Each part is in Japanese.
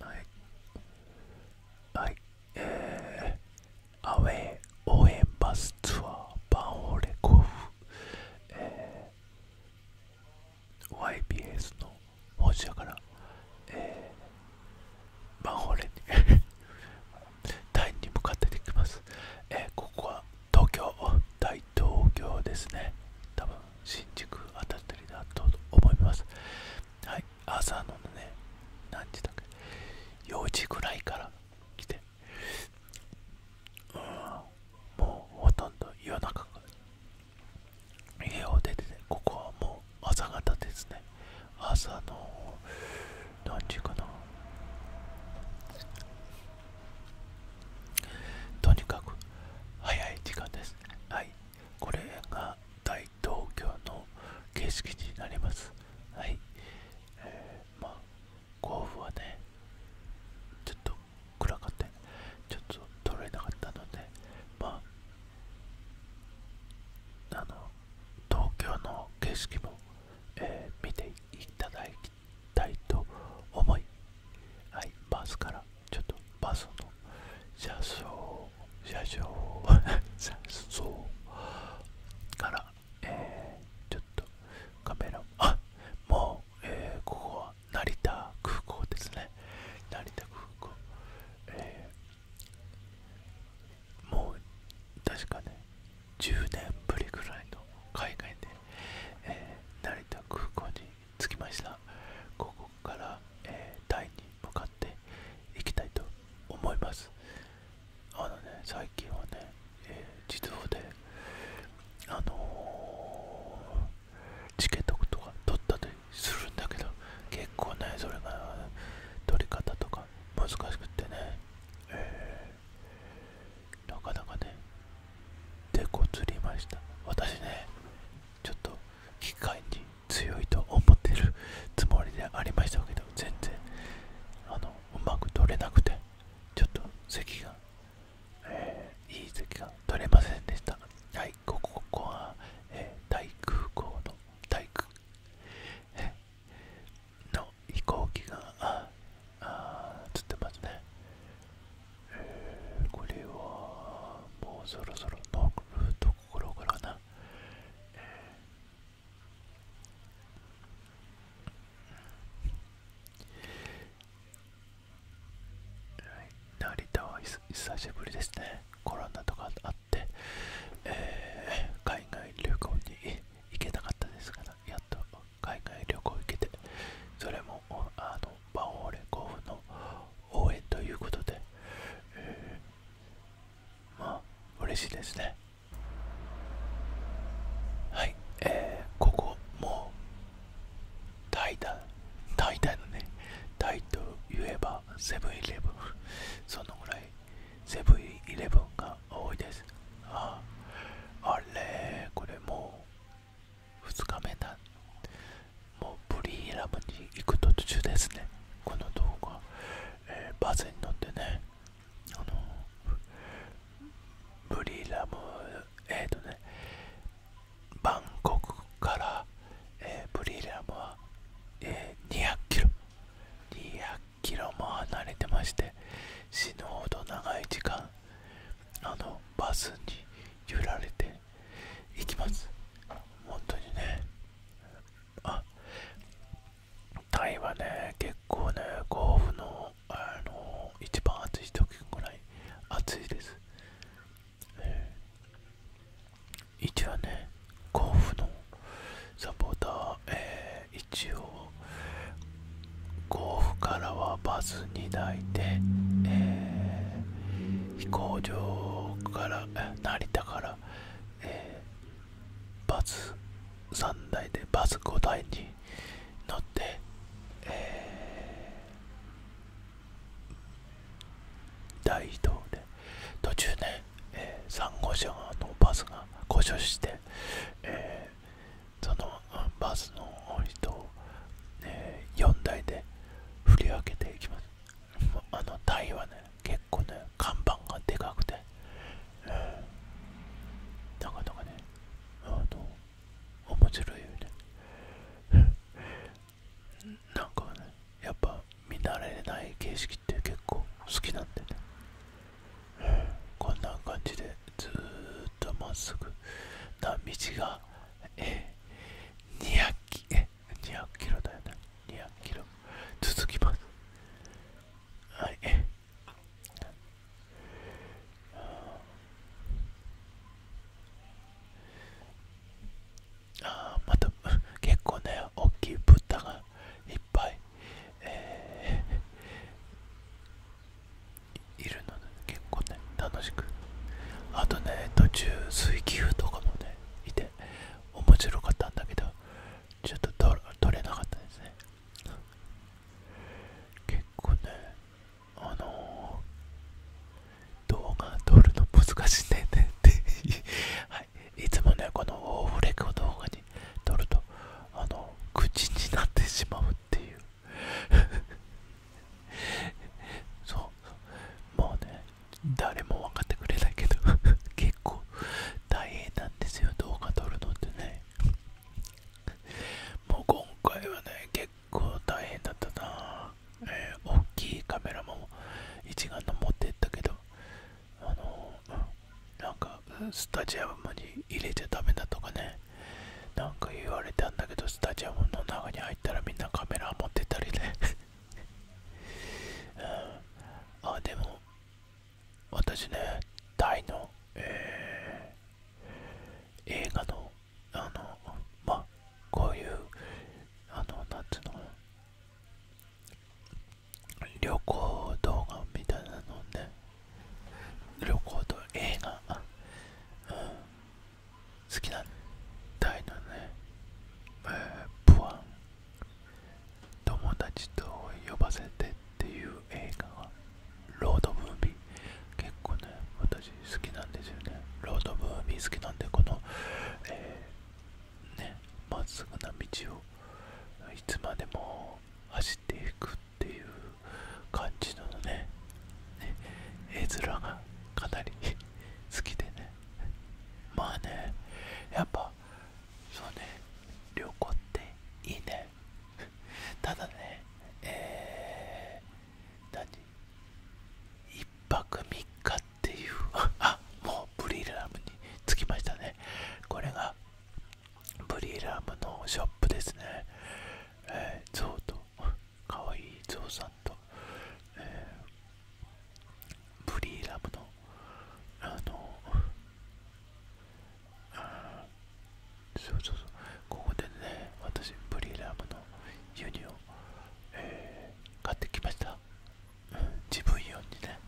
はいはいえアウェイ応援バスツアーバンホーレコフ、えー、YBS の本社から、えー、バンオレに台 に向かってできます、えー、ここは東京大東京ですね多分新宿当たってるなと思いますはい朝のね何時だっけ4時ぐらいから来てもうほとんど夜中から家を出ててここはもう朝方ですね朝の何時かなとにかく早い時間ですはいこれが東京の景色になりますはいえまあ甲府はねちょっと暗くてちょっと撮れなかったのでまああの東京の景色も、え見ていただきたいと思いはいバスからちょっとバスの車掌車窓から、えちょっとカメラあもう、えここは成田空港ですね成田空港、えもう確かね10年ぶりぐらいの海外で、え成田空港に着きましたから、えタイに向かっていきたいと思いますあのね最近はね、えー、自動であのチケットとか取ったりするんだけど結構ねそれが取り方とか難しくてね、なかなかねでこつりました私ねちょっと機械に強いと思ってるつもりでありましたけど全然あのうまく取れなくてちょっと席が、いい席が取れませんでしたはいここここは、えー、大空港の体育。の飛行機がああってますね、これはもうそろそろノールート心かな、えー、成田は久しぶりですねコロナとかあって、えー、海外旅行に行けなかったですからやっと海外旅行行けてそれもあのバオーレ甲府の応援ということで、まあ嬉しいですねはいえここもう大体大体のね大と言えばセブンイレブンそのぐらいセブンイレブンが多いですああれこれもう2日目だもうブリーラムに行く途中ですね、この動画、えバスに乗ってね、あのブリーラム、えっ、ー、とね、バンコクから、えブリーラムは、え200キロ、200キロも離れてまして、死ぬほど長い時間、あのバスに揺られていきます。本当にね、あタイはね結構ね甲府のあの一番暑い時ぐらい暑いです、えー、一応ね甲府のサポーター、えー、一応甲府からはバス2台で、えー、飛行場から成田からバス3台でバス5台に乗って、大移動で途中ね、3号車のバスが故障して、そのバスの人を、4台で振り分けていきます。あの台はね、結構看板がでかくて、うん、なかなかねあの面白いよねなんかねやっぱ見慣れない景色って結構好きなんでね、うん、こんな感じでずーっとまっすぐな道がえ200キで200キロだよね200キロ続きますはいああ。また結構ね大きい豚がいっぱい、えー、いるので結構ね楽しくあとね途中水球とかもねいて面白かったんだけどちょっと撮れなかったですね結構ねあの動画撮るの難しいねって はいいつもねこのオーフレコ動画に撮るとあの口になってしまうっていう そうそうもうね誰も分かってくれないけど 結構大変なんですよ動画撮るのってねもう今回はね結構大変だったな、大きいカメラも一眼の持ってったけどあのなんかスタジアムに入れちゃダメだとかねなんか言われたんだけどスタジアムの中に入ったらみんなカメラ持ってたりねうん、あでも私ね大の、えー、映画のあのまあこういうあのなんつうの旅行動画みたいなのね旅行と映画、うん、好きな大のね、えー、プア友達と呼ばせてっていう映画がロードムービー結構ね私好きなんですよねロードムービー好きなんでこのえー、ねまっすぐな道をいつまでも走っていくっていう感じのね絵面がかなり 好きでねまあねやっぱそうね旅行っていいね ただねえ何1泊3日っていう あもうブリーラムに着きましたねこれがブリーラムのショップですねえー、ゾウとかわいいゾウさんと、えブリーラムの、あの、そうそうそう、ここでね、私、ブリーラムのユニを、えー、買ってきました。うん、自分用にね。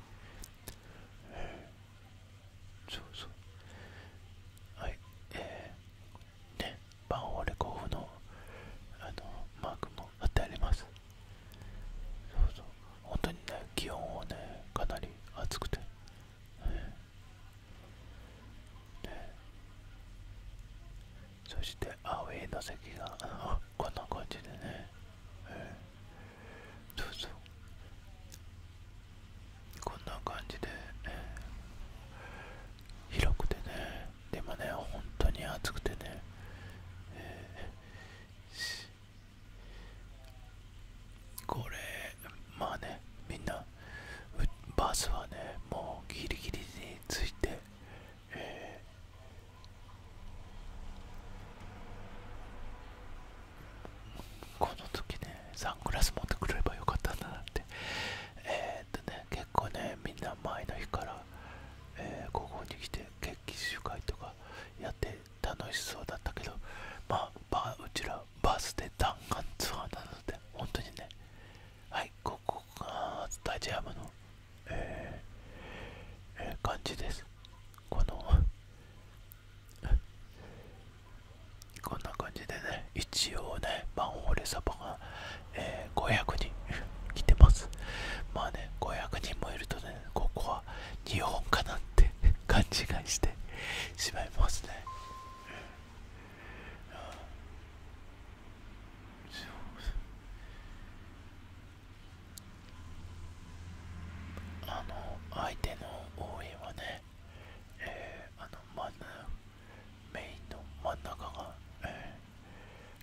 そうそう。はい、えー、ね、バンオレコフの、あの、マークも貼ってあります。そうそう本当にね気温はねかなり暑くて、ね、そしてアウェイの席が こんな感じでね、そうそうこんな感じで、広くてねでもね本当に暑くてね、えーこれまあねみんなバスはねもうギリギリについて、えー、この時ねサングラス持ってくればよかったんだなってえっとね結構ねみんな前の日から、えー、ここに来て決起集会とかやって楽しそうだったけどまあ、うちらバスで弾丸ツアーなので本当にねはいここがスタジアムの、えーえー、感じですこの こんな感じでね一応ねマンホールサバが、えー、500人来てますまあね500人もいるとねここは日本かなって勘違いしてしまいますね。あの相手の応援はね、えー、あの真ん中メインの真ん中が、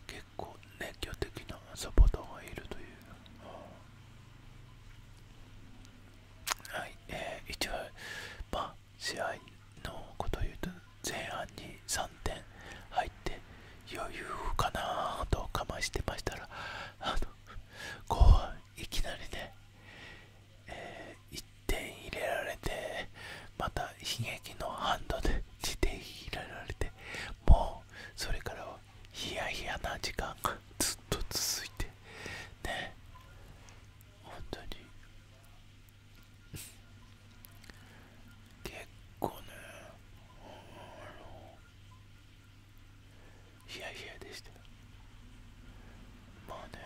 結構熱狂的なサポーターがいるという、はい、えー、一応、まあ、試合のこと言うと、前半に3点入って、余裕かなと我慢してましたら、あの、後半、いきなりね、え1点入れられて、また悲劇のハンドで2点入れられて、もう、それからはヒヤヒヤな時間がずっと続いてね本当に結構ねあのヒヤヒヤでしたまあね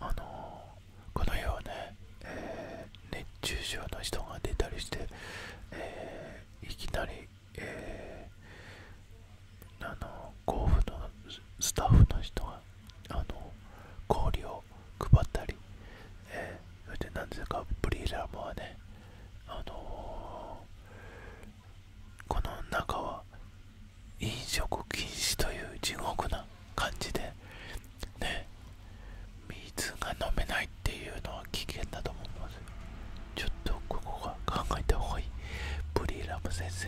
あのこの世はね、え熱中症の人が出たりして、えいきなり、えあの甲府のスタッフの人があの氷を配ったり、えそして何ですかブリーダーもはねあのこの中は飲食禁止という地獄な感じでね水が飲めないっていうのは危険だと思いますちょっとここが考えた方がいいブリーラム先生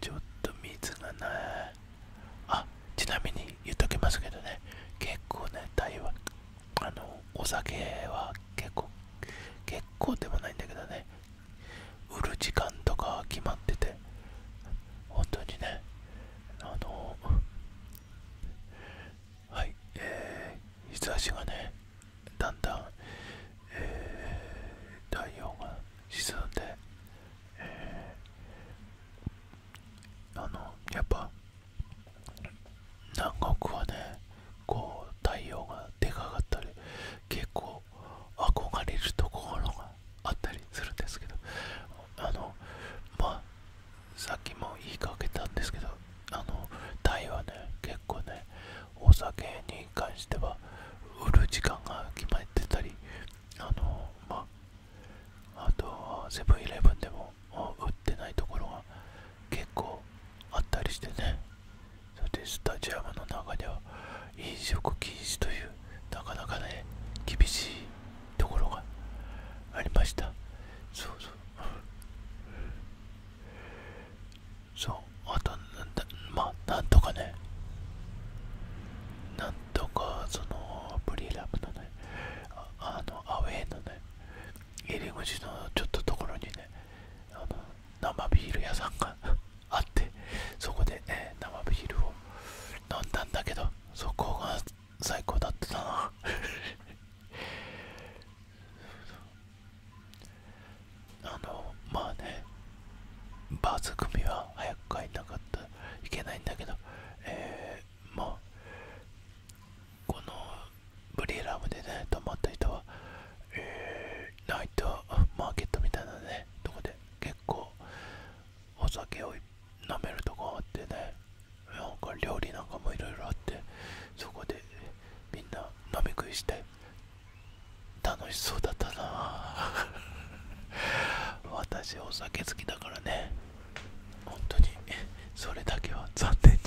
ちょっと水がないあちなみに言っときますけどね結構ね台湾あのお酒は結構結構でもないんだけどね売る時間とか決まってて本当にねあのはいえー、日差しがねだんだん、えー、太陽が沈んで、えー、あのやっぱ南国はねこう太陽がでかかったり結構憧れるところがあったりするんですけどあのまあさっきも言いかけたんですけどあのタイはね結構ねお酒に関しては売る時間が決まってたりあのまああとセブンイレブンでも売ってないところが結構あったりしてねそしてスタジアムの中では飲食禁止というなかなかね厳しいところがありましたそうそうそうあとなんだまあなんとかねなんとかそのブリーラムのねあのアウェイのね入り口のちょっとところにねあの生ビール屋さんがあってそこで、え生ビールを飲んだんだけどそこが最高だったな あのまあねバース組は早く帰んなかったいけないんだけどえまあこのブリーラムでね泊まった人はえー、ナイトマーケットみたいなねとこで結構お酒を飲めるとこあってねなんか料理なんかもいろいろあってそこでみんな飲み食いして楽しそうだったな 私お酒好きだからね本当にそれだけは残念に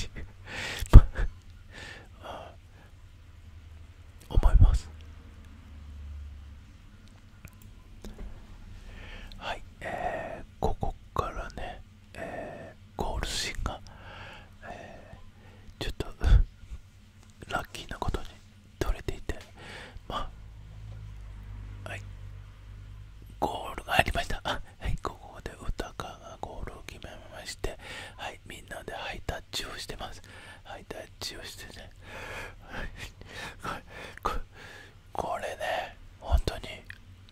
思いますはい、えここからね、えゴールシーンが、えちょっと ラッキーなことに取れていて、まはい、ゴールがありました。はい、ここで歌川がゴールを決めまして、はい、みんなでハイタッチをしてます。ハイタッチをしてこれね本当に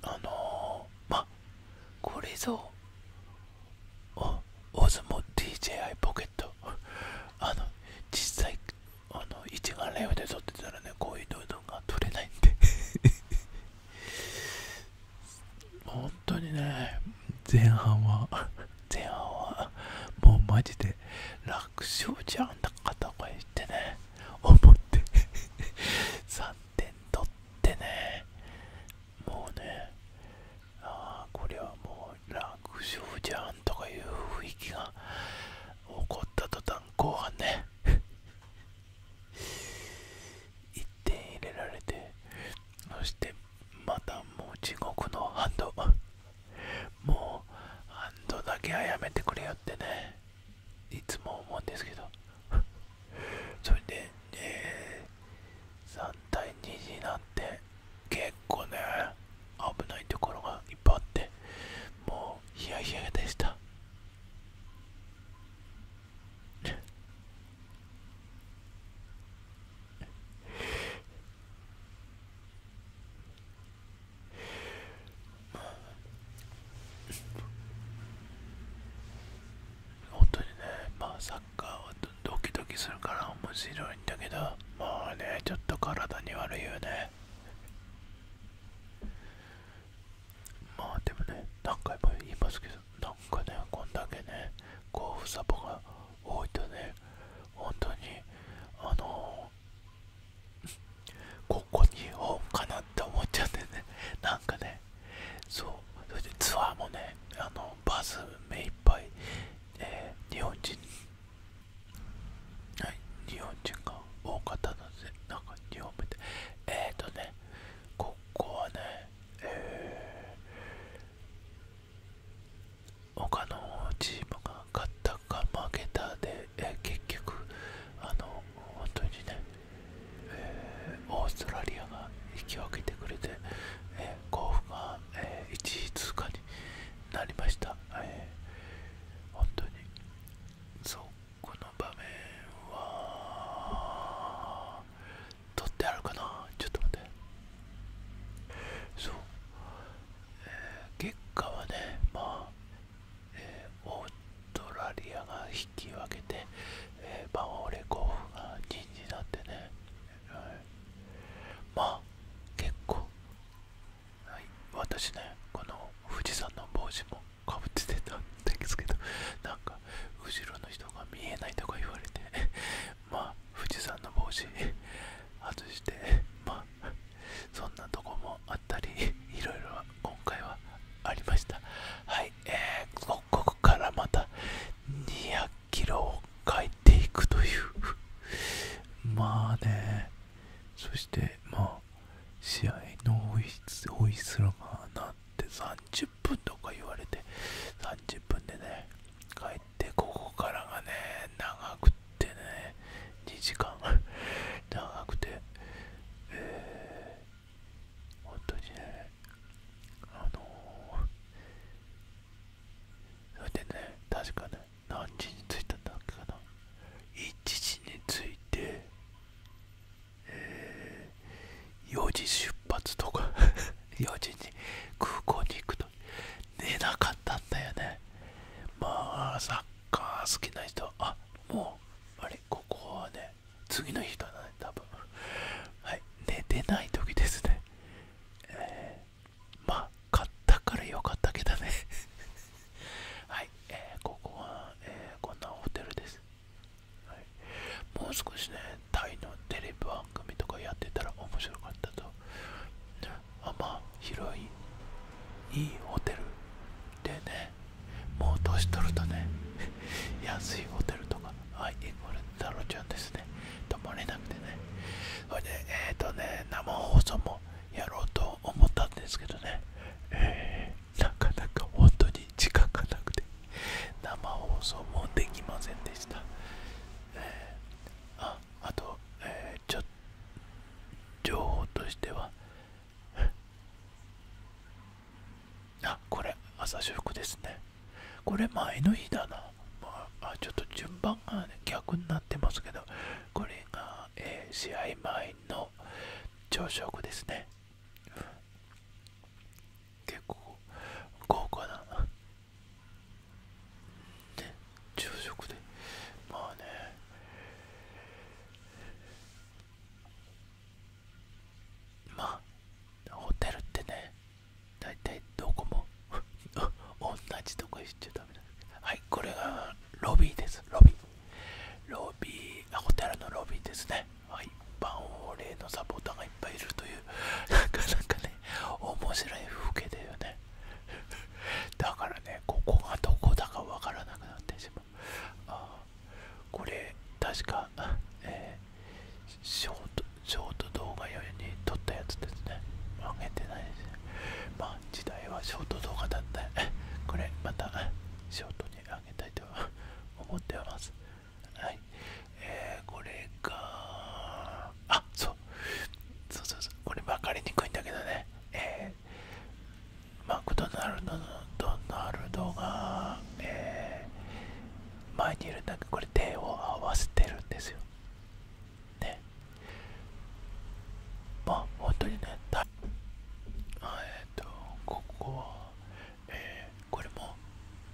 あのまあこれぞオズモ DJI ポケットあの実際あの一眼レフで撮ってたらねこういう動画が撮れないんで本当にね前半は前半はもうマジで楽勝じゃんだか片てね思って3点 取ってねもうねああこれはもう楽勝じゃんとかいう雰囲気が起こった途端後半ね1 点入れられてそしてまたもう地獄の反動もう安藤だけはやめてくれよってねいつも思うんですけど それで、えー、3対2になって結構ね危ないところがいっぱいあってもうヒヤヒヤでしたい 本当にね、まあサッカーはドキドキするから面白いんだけど、まあね、ちょっと体に悪いよね。まあでもね、何回も言いますけど、なんかね、こんだけね、こう、サポが多いとね、本当に、あのここに言おうかなって思っちゃってねなんかねそうそれでツアーもねあのバス目いっぱい、えー、日本人はい日本人が多かったのでなんか日本目でえっ、ー、とねここはねえー、他のチームが勝ったか負けたでえ結局あの本当にね、オーストラリアが引き分けてくれて、え甲府が、え1位通過になりました、本当にそうこの場面は取ってあるかなちょっと待ってそう、え結果はねまあえオーストラリアが引き分けて、えー、バンオレ甲府が陣になってね、はい、まあ結構、私ねこの富士山の帽子もかぶってたんですけど なんか後ろの人が見えないとか言われて まあ富士山の帽子外してまあそんなとこもあったり いろいろ今回はありましたはいえー、ここからまた2 0 0キロを帰っていくという まあねそしてまあ試合のホいすらが鳴って30分とか言われて30分でね帰ってここからがね長くてっね2時間 長くて、えー、本当にねあのそれでね確かね何時に着いたんだっけかな1時に着いて、えー、4時出発とか4 時に空港に行くと寝なかったんだよねまあサッカー好きな人はあもうあれここはね次の日かな。多分はい寝てない時ですねえまあ買ったからよかったけどね はい、えここは、えこんなホテルです、もう少しねタイのテレビ番組とかやってたら面白かったとま広いいいホテルでねもう年取るとね 安いホテルとかはいこれタろちゃんですね泊まれなくてねそれでえっ、とね生放送もやろうと思ったんですけどね、えー、なかなか本当に時間がなくて生放送もできませんでした、えああと、えー、ちょ情報としては あこれ朝食ですねこれ前の日だな、まあ、ちょっと順番が、逆になってますけどこれが、え試合前の朝食ですね、結構豪華なね朝食でまあねまあホテルってね大体どこも 同じとこ行っちゃダメだはいこれがロビーですロビーロビーホテルのロビーですねはい一般王霊のサポーターがいっぱいいるという なかなかね面白い風景だよねだからねここがどこだかわからなくなってしまうあこれ確か、えショート動画用に撮ったやつですねあげてないですねま時代はショート動画だった これまたショートにあげたいと思ってますはいえー、これがあそうそうそうそうこれ分かりにくいんだけどねでマクドナルドのドナルドが、え前にいるんだけどこれ手を合わせてるんですよ。ね。まあ本当にね、たえっと、ここは、えこれも、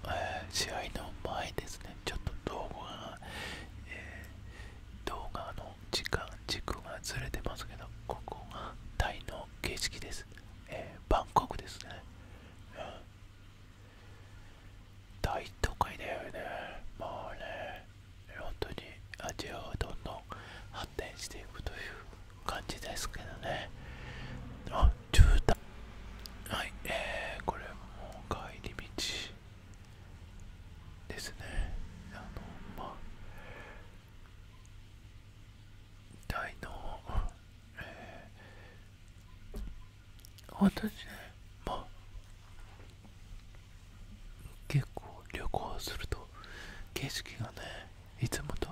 え試合の前ですね。ちょっと動画動画の時間軸がずれてますけどここがタイの景色です、えバンコクですね、大都会だよねもうね本当にアジアはどんどん発展していくという感じですけどねあ住宅はいえー、これも帰り道ですねあのまあ大の、えー、にね、まあ、結構旅行すると景色がね、いつもと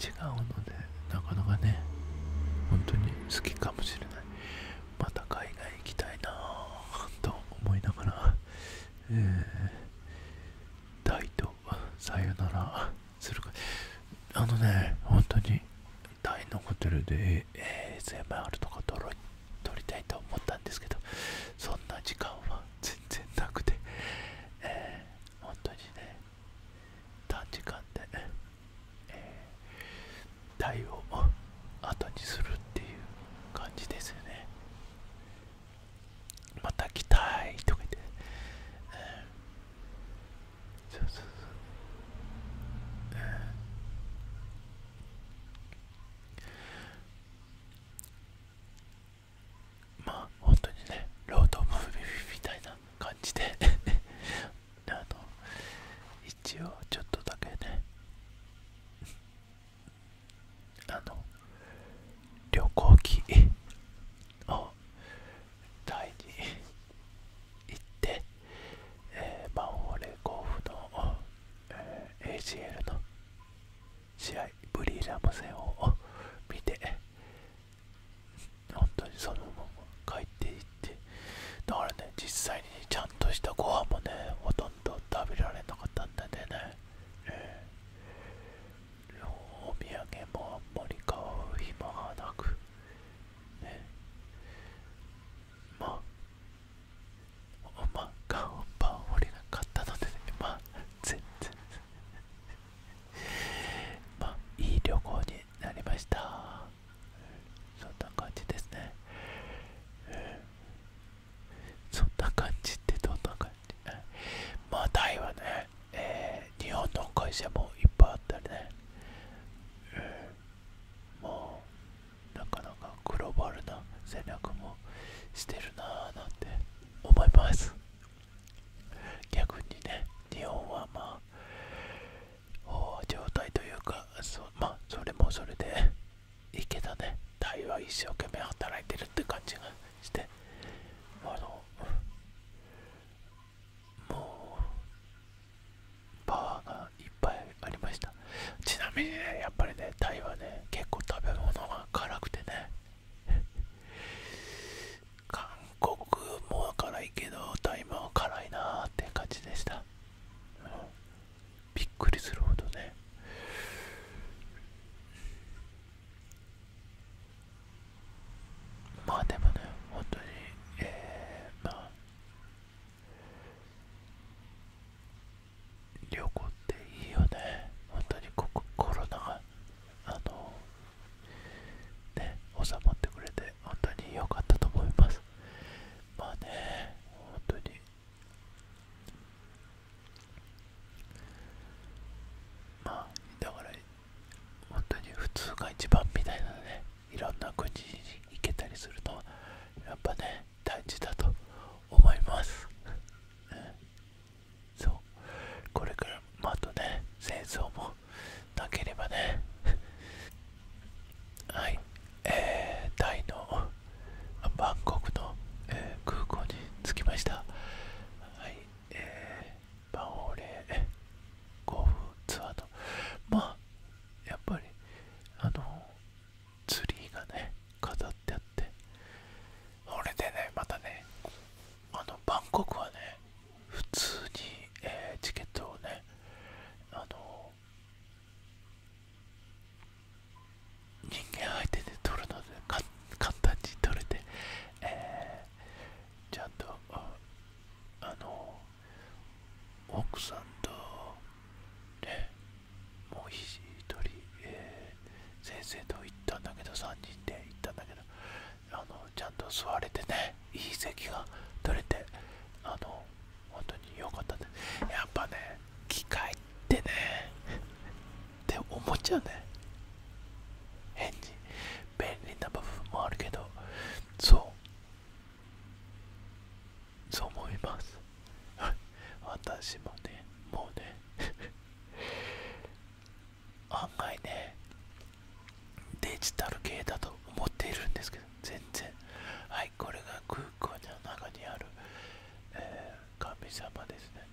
違うので、なかなかね、本当に好きかもしれない。また海外行きたいなぁと思いながら、えー、大さよならするかあのね本当にタイのホテルで a s あるとか撮ろ撮りたいと思ったんですけどそんな時間は全然なくて、え本当にね短時間で、えー、タイを後にするっていう感じですよねまた来たいとか言って、うそうそうそう、まあ本当にねロードムービーみたいな感じであの一応ちょっとだけねあの旅行機をタイに行って、えマンホールレ甲府の、えー、ACL の試合ブリーラム戦を見て本当にそのまま帰っていってだからね実際にちゃんとしたご飯もねほとんど食べられなかったんだよね、お土産もあんまり買う暇がなく、まあ、まあ、買うパン俺が買ったのでまあ、全然、まあ、いい旅行になりました。そんな感じですね。そんな感じってどんな感じ。まあタイはね、え日本の会社もいっぱいあったりね、うん、もうなかなかグローバルな戦略もしてるなぁなんて思います逆にね日本はまあ状態というかそまあそれもそれでいけたねタイは一生懸命働いてるって感じがしてあのもうパワーがいっぱいありましたちなみにねやっぱりねタイはね結構食べ物が辛くてね 韓国も辛いけどタイも辛いなって感じでした、うん、びっくりするほどねまあでもね本当にえー、まあ旅行っていいよね本当にこコロナがあのね収まってくれて本当に良かったと思いますまあね本当にまあだから本当に普通が一番みたいなねいろんな国に行けたりするのはやっぱね大事だと思います、そうこれからまたね戦争もなければねはいえー、タイのバンコクの、えー、空港に着きましたはいえー、バオレーゴーフツアーとまあやっぱりあのツリーがね飾ってあって俺でねまたねあのバンコクはね普通に、えー、チケットをねあの人間相手で取るので簡単に取れて、えちゃんとあの奥さんとねもう一人、え先生と行ったんだけど3人で行ったんだけどあのちゃんと座れてねいい席が取れてあの本当に良かったねやっぱね機械ってねって思っちゃうね変に便利な部分もあるけどそうそう思います 私もねもうね 案外ねデジタル系だと思っているんですけど全然はいこれが空港の中にある、え神様ですね、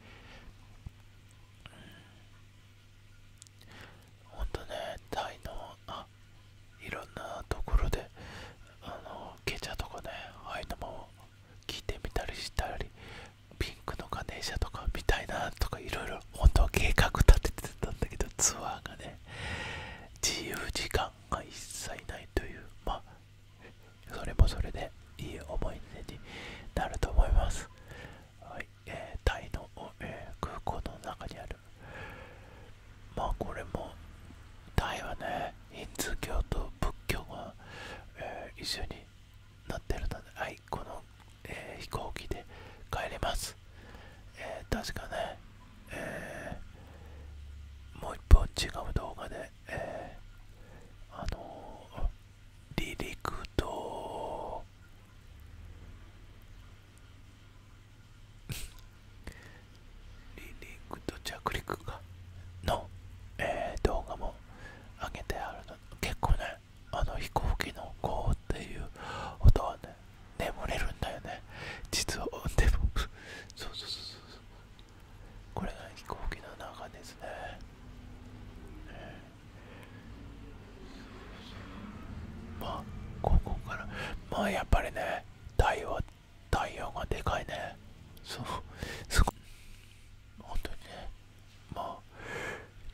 ほんとね大イのあいろんなところであのケチャとかねああいうのも聞いてみたりしたりピンクのガネーシャとか見たいなとかいろいろ本当は計画立ててたんだけどツアーがね自由時間が一切ないというまあそれもそれでいい思い出になると思いますはいえタイの、え空港の中にあるまあこれもタイはねヒンズー教と仏教が、え一緒になってるのではいこの、え飛行機で帰ります、え確かね、えもう一本違う動画で、えあの離陸と離陸と着陸かの、えー、動画も上げてあるの結構ねあの飛行機のゴーっていう音はね眠れるんだよね実はでもそうそうそうそうそう。これが飛行機の中ですね、えーまあここからまあやっぱりね太陽太陽がでかいねそうすごい本当にねまあ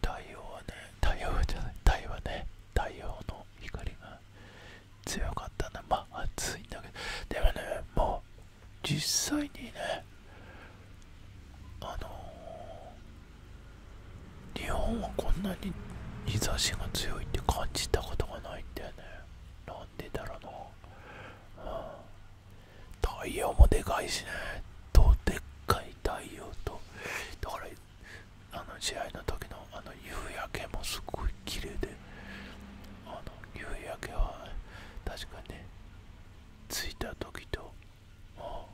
太陽はね太陽じゃない太陽はね太陽の光が強かったなまあ暑いんだけどでもねもう実際にねあの日本はこんなに日差しが強いって感じたことがないんだよねなんでだろうな、太陽もでかいしねとでっかい太陽とだからあの試合の時のあの夕焼けもすごい綺麗であの夕焼けは確かね着いた時とは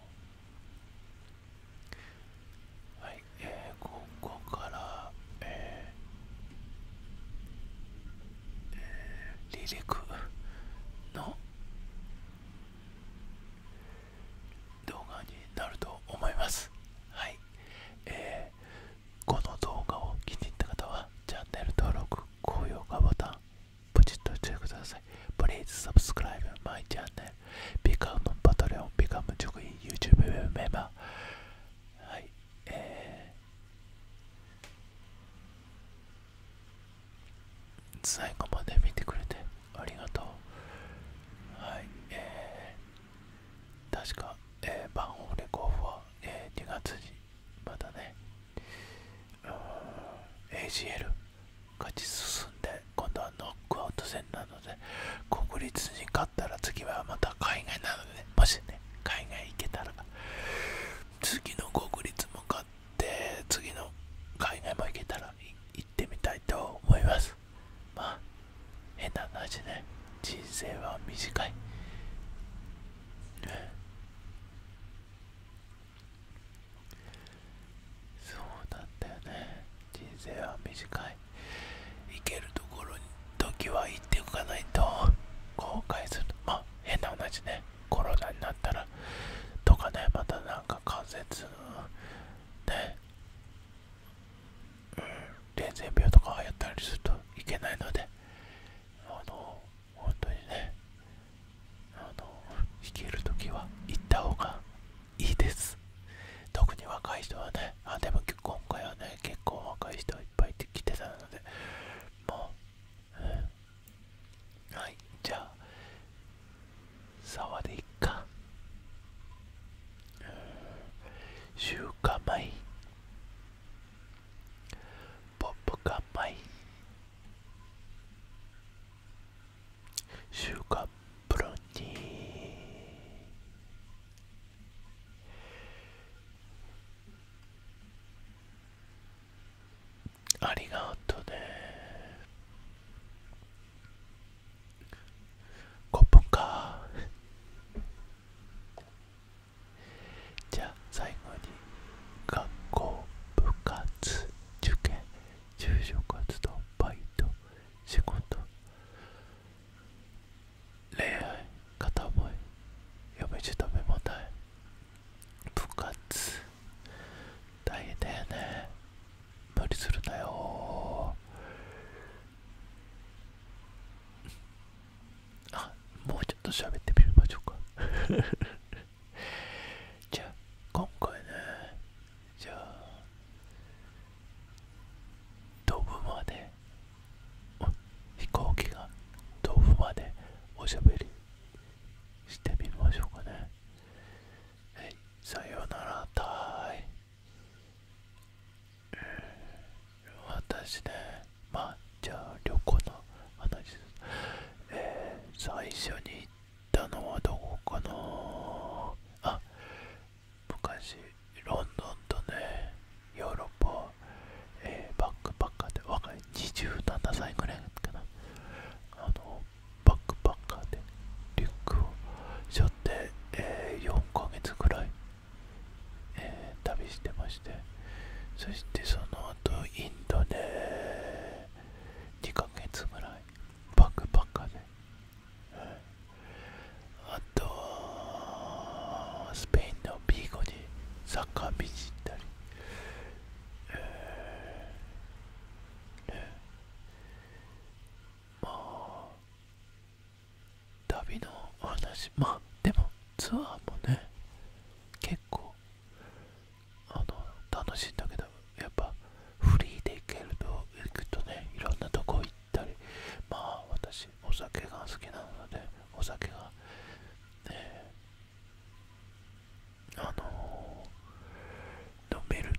い、えここから、ええ離陸の動画になると思います。はい、えー、この動画を気に入った方はチャンネル登録、高評価ボタン、ポチッとしてください。Please subscribe my channel. Become Patreon. Become 直位 YouTube member. はい。えー、最後まで見てくれてありがとう。はい。えー、確か、えー、番号レコーフは、えー、2月にまだね、ACL。勝ち進んで今度はノックアウト戦なので国立に勝ったら次はまた海外なので、もしね海外行けたら次の国立も勝って次の海外も行けたら行ってみたいと思いますまあ変な話ね人生は短いそうなんだよね人生は短い行けるところに時は行っておかないと後悔するまあ変な話ねコロナになったらとかねまたなんか関節ねうん伝染病とか流行ったりするといけないのであの本当にねあの弾ける時は行った方がいいです特に若い人はねあでも今回はね結構若い人はいっぱい来てたのでもう、はいじゃあ沢でいっか週刊米ポップカン米週刊プロにありがとうね5分かじゃあ最後に学校部活受験就職活動バイト Segundo, 恋愛、片思い、嫁じ止め問題、部活、大変だよね。無理するなよ。あ、もうちょっと喋ってみましょうか。じゃ今回ねじゃあ飛ぶまで飛行機が飛ぶまでおしゃべりしてみましょうかねはいさようならたい、私ねまあじゃあ旅行の話え最初にたのはどこかなあ昔ロンドンとねヨーロッパ、えバックパッカーで若い27歳ぐらいかなあのバックパッカーでリュックを背負って、え4ヶ月ぐらい、え旅してましてそしてその後インドで2ヶ月ぐらいバックパッカーであとはスペインのビーゴでサッカーったり、まあ旅の話まあでもツアーもね結構あの楽しいんだけどやっぱフリーで行けると行くとねいろんなとこ行ったりまあ私お酒が好きなのでお酒がねあの飲める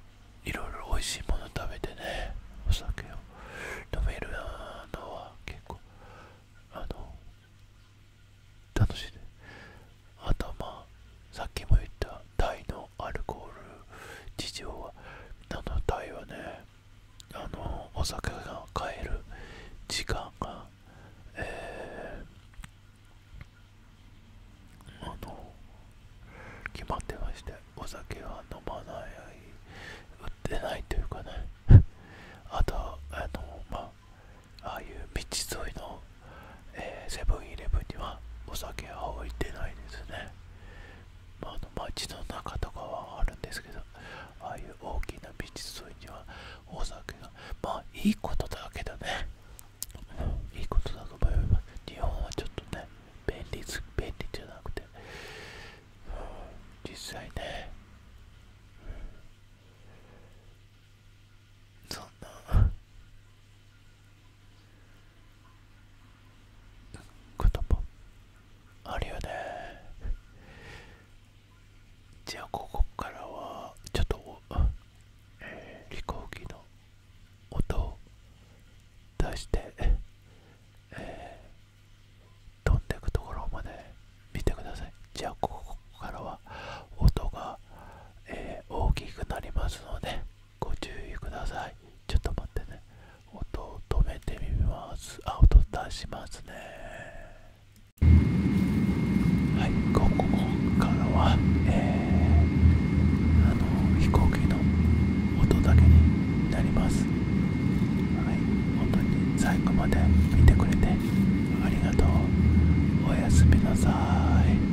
いろいろ美味しいもの食べてねお酒を飲めるのは結構あの楽しいであとまあさっきも言ったタイのアルコール事情はあのタイはねあのお酒が買える時間が、ええ。あの決まってましてお酒は飲まない売ってないというかね あとあのまあああいう道沿いの、えー、セブンイレブンにはお酒は置いてないですねまあ、あの街の中とかはあるんですけど、ああいう大きな美術沿いにはお酒が、まあいいことだけどね、いいことだと思います。日本はちょっとね、便利便利じゃなくて、実際ね、そんなこともあるよねじゃあここからはちょっと、飛行機の音を出して、飛んでいくところまで見てくださいじゃあここからは音が、大きくなりますのでご注意くださいちょっと待ってね音を止めてみますあ音出しますねはいここからはえあの飛行機の音だけになりますはい本当に最後まで見てくれてありがとうおやすみなさい